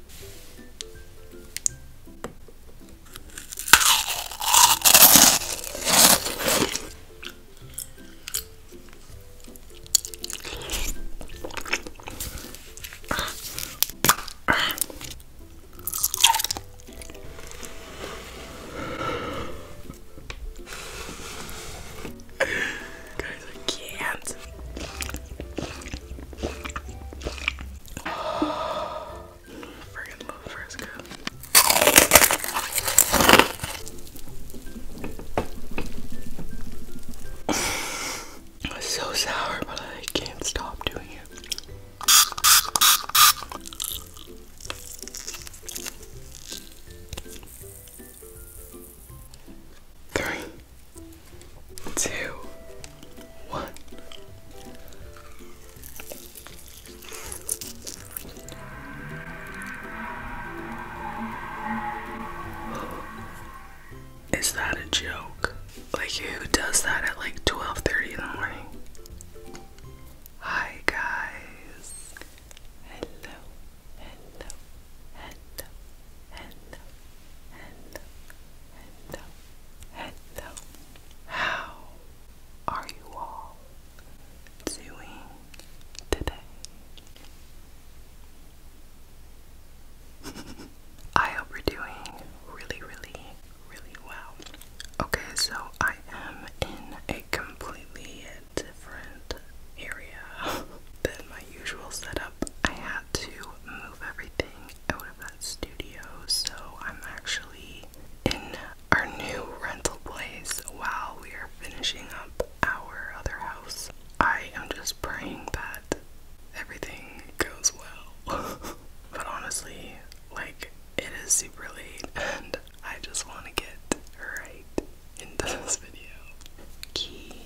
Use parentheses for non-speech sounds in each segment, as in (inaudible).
Guys, I can't. Oh, freaking love Fresca. so sour, but I can't stop doing it. Three two, one. (gasps) Is that a joke? Like who does that at like 12:30 in the morning? Hi guys. Hello. Hello. Hello. And hello, hello, hello. How are you all doing today? (laughs) I hope we are doing really, really, really well. Okay, so I am in a completely different area (laughs) than my usual setup. I had to move everything out of that studio, so I'm actually in our new rental place while we are finishing up our other house. I am just praying that everything goes well. (laughs) but honestly, like, it is super late and I just want to get right into this video. Key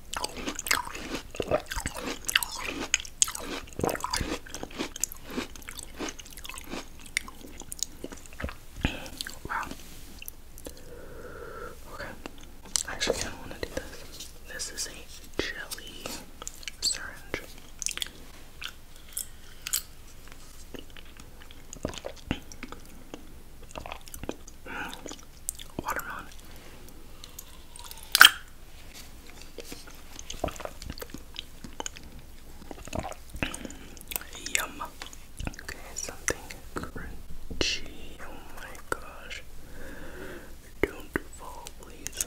Wow. Okay. Actually, I don't want to do this. This is a jelly syringe. Mm watermelon. Yum. Okay, something crunchy. Oh my gosh. Don't fall, please.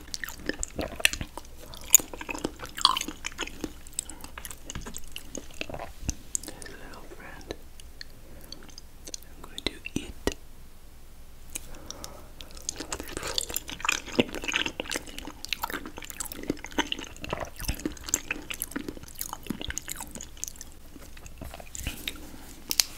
There's a little friend. I'm going to eat.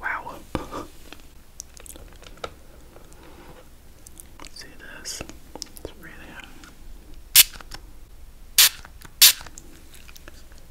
Wow. Let's (laughs) see this. It's really.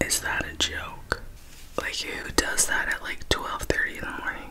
Is that a joke? Like who does that at like 12:30 in the morning?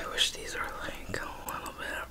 I wish these are like a little bit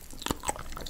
Okay, let's try this.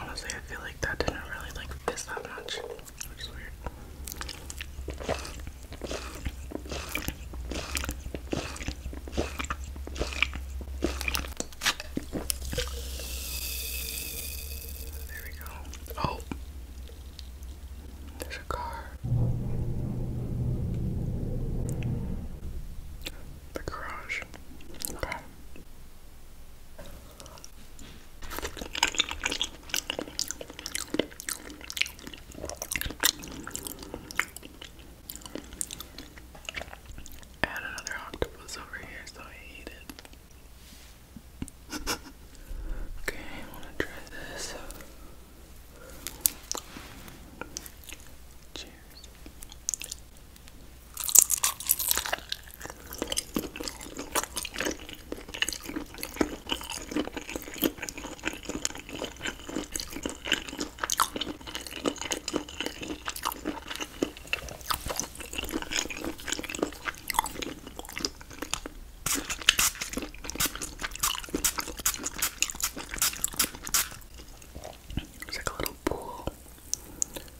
Honestly, I feel like that didn't really like this that much, which is weird. There we go. Oh, there's a car. The garage. I had another octopus over here, so I ate it. (laughs) okay, I want to try this. Cheers. It's like a little pool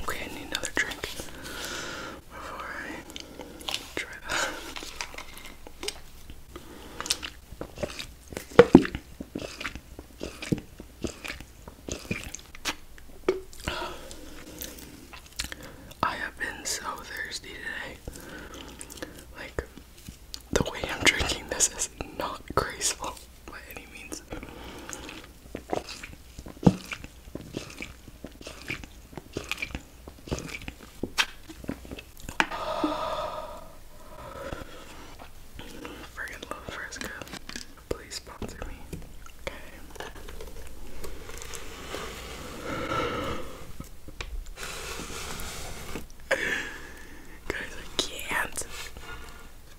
Okay, I need another drink before I try that. I have been so thirsty today. Like, the way I'm drinking this is not graceful by any means. love Fresca. Please sponsor me. Okay. (laughs) Guys, I can't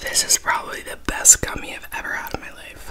This is probably the best gummy I've ever had in my life.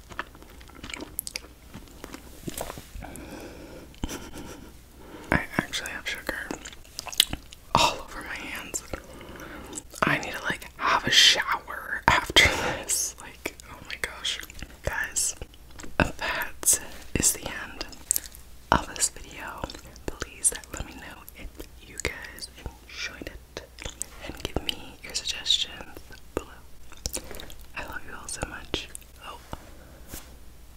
I actually have sugar all over my hands. I need to like have a shower after this. Like, oh my gosh. Guys, that is the end of this video. Please let me know if you guys enjoyed it and give me your suggestions below. I love you all so much. Oh.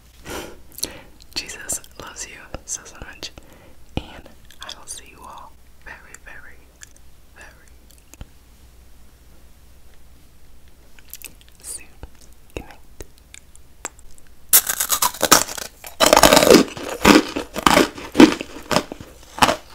(laughs) Jesus loves you so, so much. And I will see you all very, very, very soon. Good night.